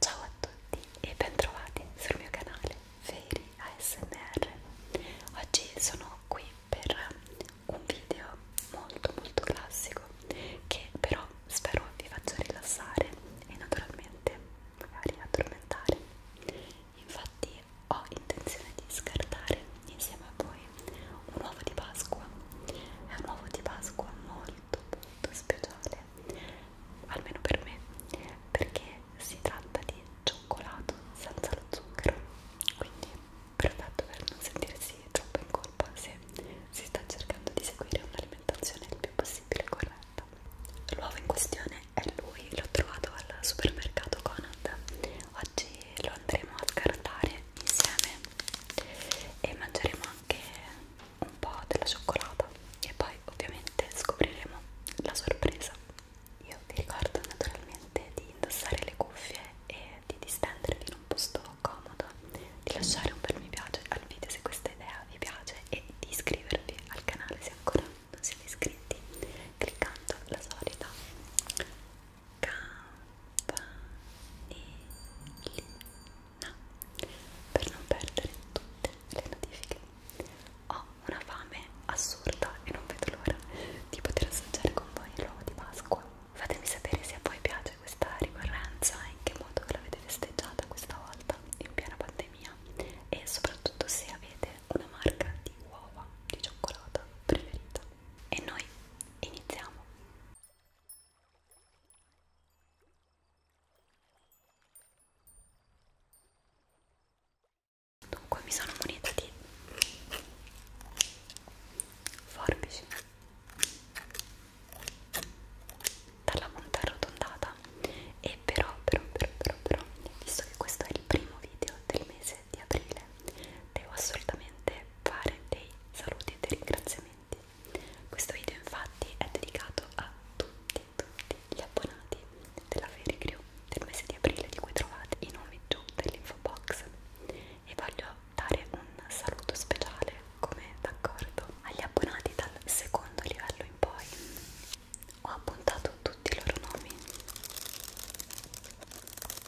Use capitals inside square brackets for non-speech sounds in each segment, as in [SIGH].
Ciao a tutti e bentrovati sul mio canale Feri ASMR. Oggi sono qui per un video molto molto classico che però spero vi faccia rilassare e naturalmente magari addormentare. Infatti ho intenzione di scartare insieme a voi un uovo di Pasqua. È un uovo di Pasqua molto molto speciale almeno per me, perché si tratta di cioccolato senza lo zucchero, quindi perfetto per non sentirsi troppo in colpa se si sta cercando di seguire un'alimentazione il più possibile corretta. L'uovo in questione è lui, l'ho trovato al supermercato Conad, oggi lo andremo a scartare insieme e mangeremo anche un po' della cioccolata e poi ovviamente scopriremo la sorpresa io vi ricordo naturalmente di indossare le cuffie e di distendervi in un posto comodo di lasciare un bel mi piace al video se questa idea vi piace e di iscrivervi al canale se ancora non siete iscritti cliccando la solita campanellina nonna per non perdere tutte le notifiche. Ho una fame assurda e non vedo l'ora di poter assaggiare con voi l'uovo di Pasqua. Fatemi sapere se a voi piace questa ricorrenza e in che modo l'avete festeggiata questa volta in piena pandemia e soprattutto se avete una marca di uova di cioccolata preferita. E noi iniziamo! Dunque mi sono munita di forbici dalla monta arrotondata e però, però, però, però, però, visto che questo è il primo video del mese di aprile, devo assolutamente fare dei saluti e dei ringraziamenti commenti. Questo video infatti è dedicato a tutti, tutti gli abbonati della Fairy Crew del mese di aprile di cui trovate i nomi giù dell'info box e voglio dare un saluto speciale come d'accordo agli abbonati dal secondo livello in poi. Ho appuntato tutti i loro nomi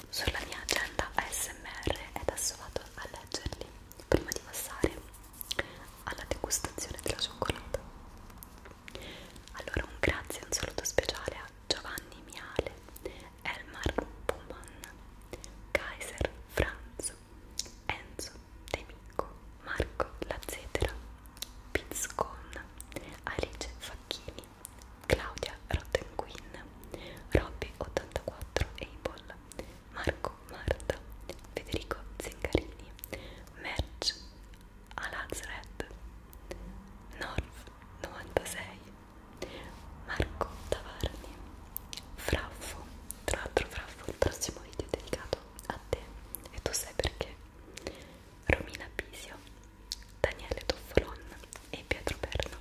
sulla mia agenda ASMR ed adesso vado a leggerli prima di passare alla degustazione della cioccolata. Allora un grazie e un saluto speciale a Giovanni Miale, Elmar Puman, Kaiser Franz, Enzo Demico, Marco Lazzetera, Pizzcon, Alice Facchini, Claudia Rottenquin, Robby84 Abel, Marco Marta, Federico Zingarini, Merch Alazred, Norf 96, Marco Tavarni, Fraffo, tra l'altro Fraffo il prossimo video è dedicato a te e tu sai perché, Romina Pisio, Daniele Toffolon e Pietro Perno,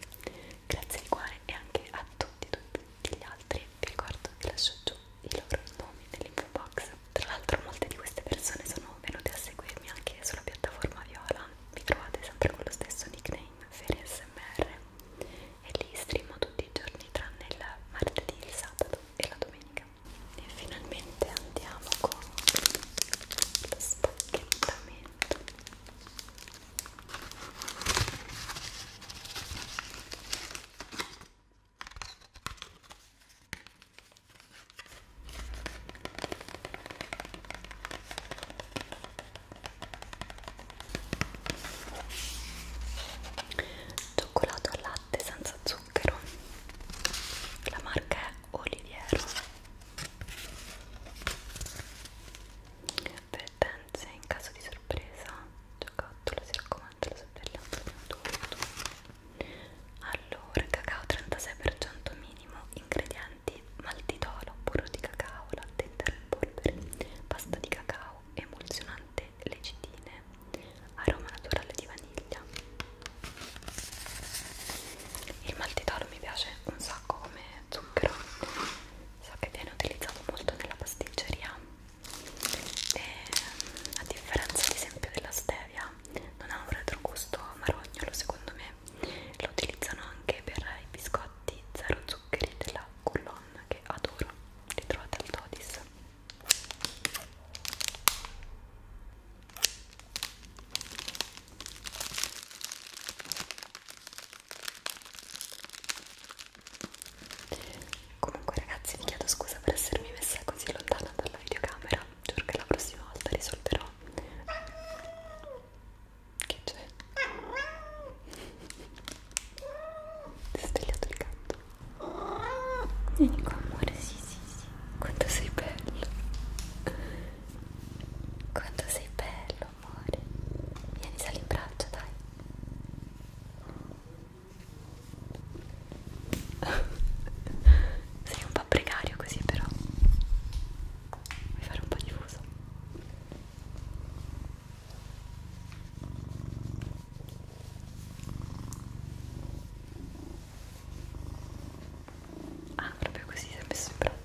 grazie di cuore e anche a tutti tutti gli altri vi ricordo che lascio giù i loro nomi nell'info box tra l'altro molte di queste persone sono venute a seguirmi anche sulla piattaforma Viola mi trovate sempre con lo stesso nickname FeriSMR e lì streamo tutti i giorni tranne il martedì, il sabato e la domenica e finalmente andiamo con lo spacchettamento Cioccolato al latte senza zucchero. La marca è Oliviero avvertenze in caso di sorpresa giocattolo si raccomanda la sorveglianza di un tutto allora cacao 36% minimo ingredienti maltitolo burro di cacao latte intero in polvere pasta di cacao emulsionante legitine aroma naturale di vaniglia il maltitolo mi piace un sacco come zucchero so che viene utilizzato molto nella pasticceria e a differenza ad esempio della stevia non ha un retrogusto marognolo secondo me lo utilizzano anche per i biscotti zero zuccheri della Coulon che adoro li trovate al Todis Comunque ragazzi vi chiedo scusa per essermi messa così lontana dalla videocamera, giuro che la prossima volta risolverò. Che c'è? Ti è svegliato il gatto? Vieni qua amore, sì sì sì. Quanto sei bello! Quanto sei bello, bello amore vieni sali in braccio dai [LAUGHS] sei un po' precario così però vuoi fare un po' di fuso Ah, proprio così si è messo in braccio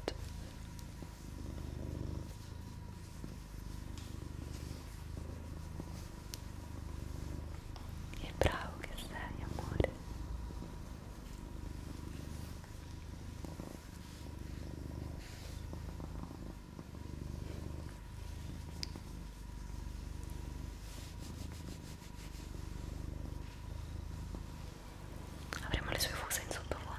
e bravo che sei, amore. Avremo le sue fuse in sottofondo.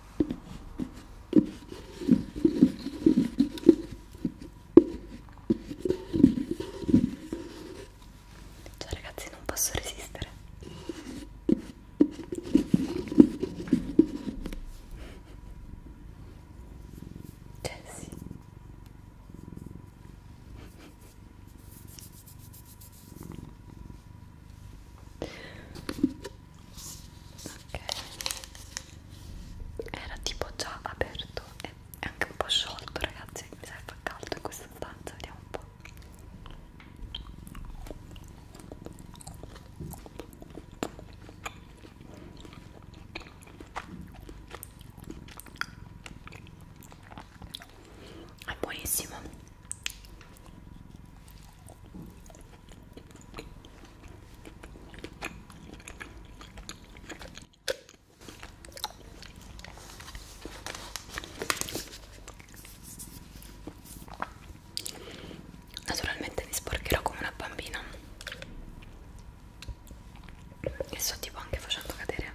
Cioè ragazzi non posso resistere Cioè sì ok era tipo già aperto e è anche un po' sciolto ragazzi mi sa che fa caldo in questa stanza vediamo un po' è buonissimo Naturalmente mi sporcherò come una bambina e sto tipo anche facendo cadere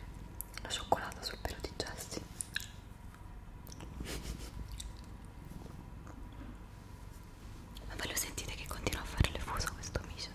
la cioccolata sul pelo di Jessie ma voi lo sentite che continua a fare le fuso questo micio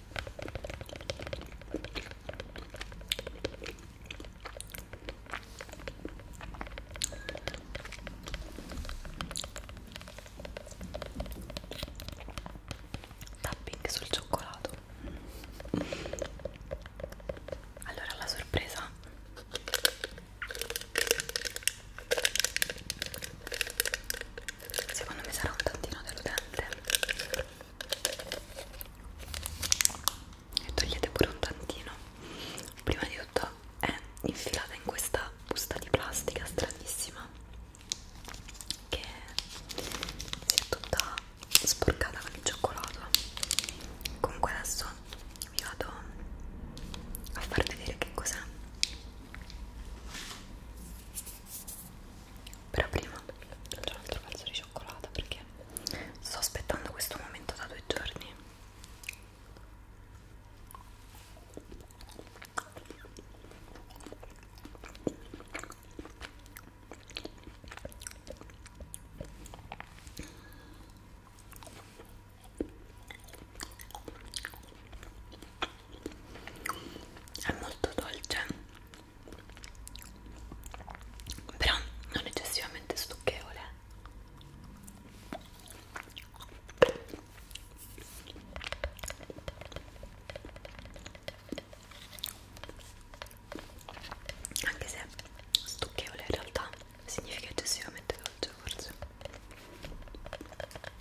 Tapping sul cioccolato. Allora la sorpresa secondo me sarà un tantino deludente e togliete pure un tantino prima di tutto è infilata in questa busta di plastica stranissima che si è tutta sporcata con il cioccolato comunque adesso vi vado a far vedere che cos'è però prima faccio un altro pezzo di cioccolata perché sto aspettando questo momento da due giorni è molto dolce però non eccessivamente stucchevole anche se stucchevole in realtà significa eccessivamente dolce forse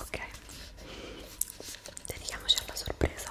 Ok, dedichiamoci alla sorpresa.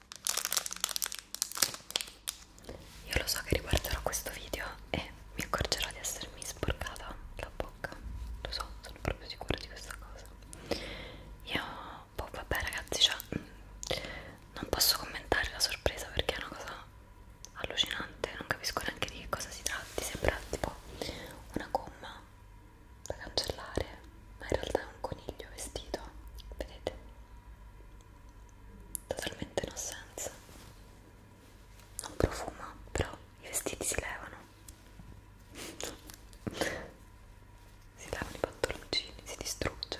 Io lo so che riguarderò questo video e mi accorgerò di essermi sporcata la bocca. Lo so, sono proprio sicura di questa cosa. Io, boh, vabbè, ragazzi, cioè, mm, non posso commentare la sorpresa perché è una cosa allucinante. Non capisco neanche di che cosa si tratti. Sembra tipo una gomma da cancellare, ma in realtà è un coniglio vestito. Vedete? totalmente no senso non profuma però i vestiti si levano [LAUGHS] si levano i pantaloncini si distrugge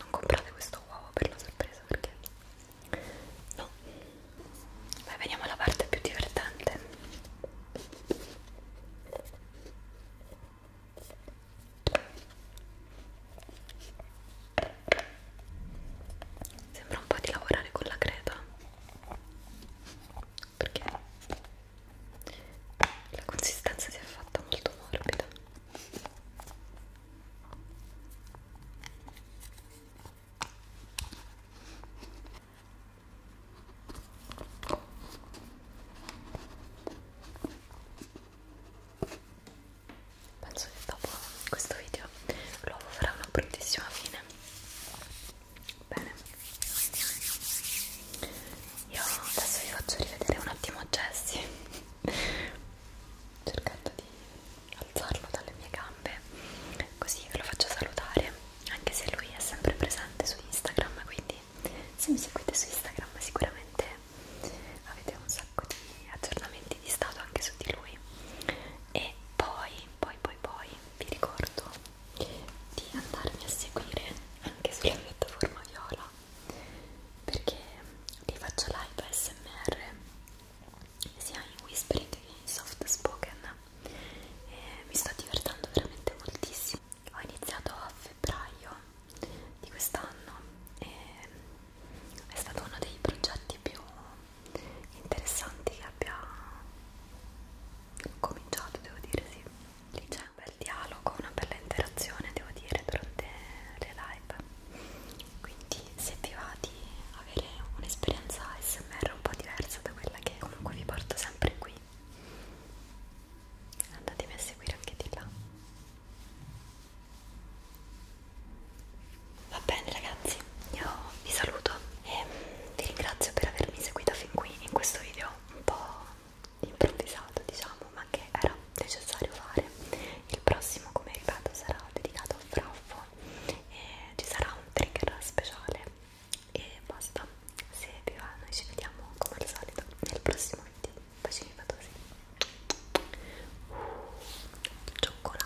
non comprate questo uovo per la sorpresa perché no Beh, veniamo alla parte più divertente Sembra un po' di lavorare con la creta perché la consistenza si è fatta molto morbida. Penso che dopo questo video l'uovo farà una bruttissima fine. Bene, io adesso vi faccio rivedere un attimo Jesse, [LAUGHS] cercando di alzarlo dalle mie gambe, così ve lo faccio salutare, anche se lui è sempre presente su Instagram, quindi se mi seguite su Instagram sicuramente avete un sacco di aggiornamenti di stato anche su di lui e poi poi poi poi vi ricordo di andarmi a seguire anche sulla piattaforma viola perché li faccio live ASMR sia in whispering che in soft spoken e mi sto divertendo veramente moltissimo ho iniziato a febbraio di quest'anno e è stato uno dei progetti più interessanti che abbia cominciato, devo dire, sì. Lì c'è un bel dialogo, una bella interazione, devo dire, durante le live. Quindi se vi va di avere un'esperienza SMR un po' diversa da quella che comunque vi porto sempre qui andatemi a seguire anche di là va bene ragazzi io vi saluto e vi ringrazio per avermi seguita fin qui in questo video un po' improvvisato diciamo ma che era necessario fare il prossimo come ripeto sarà dedicato a Fraffo e ci sarà un trigger speciale e basta se vi va noi ci vediamo come al solito nel prossimo video bacini fatosi uh, cioccolato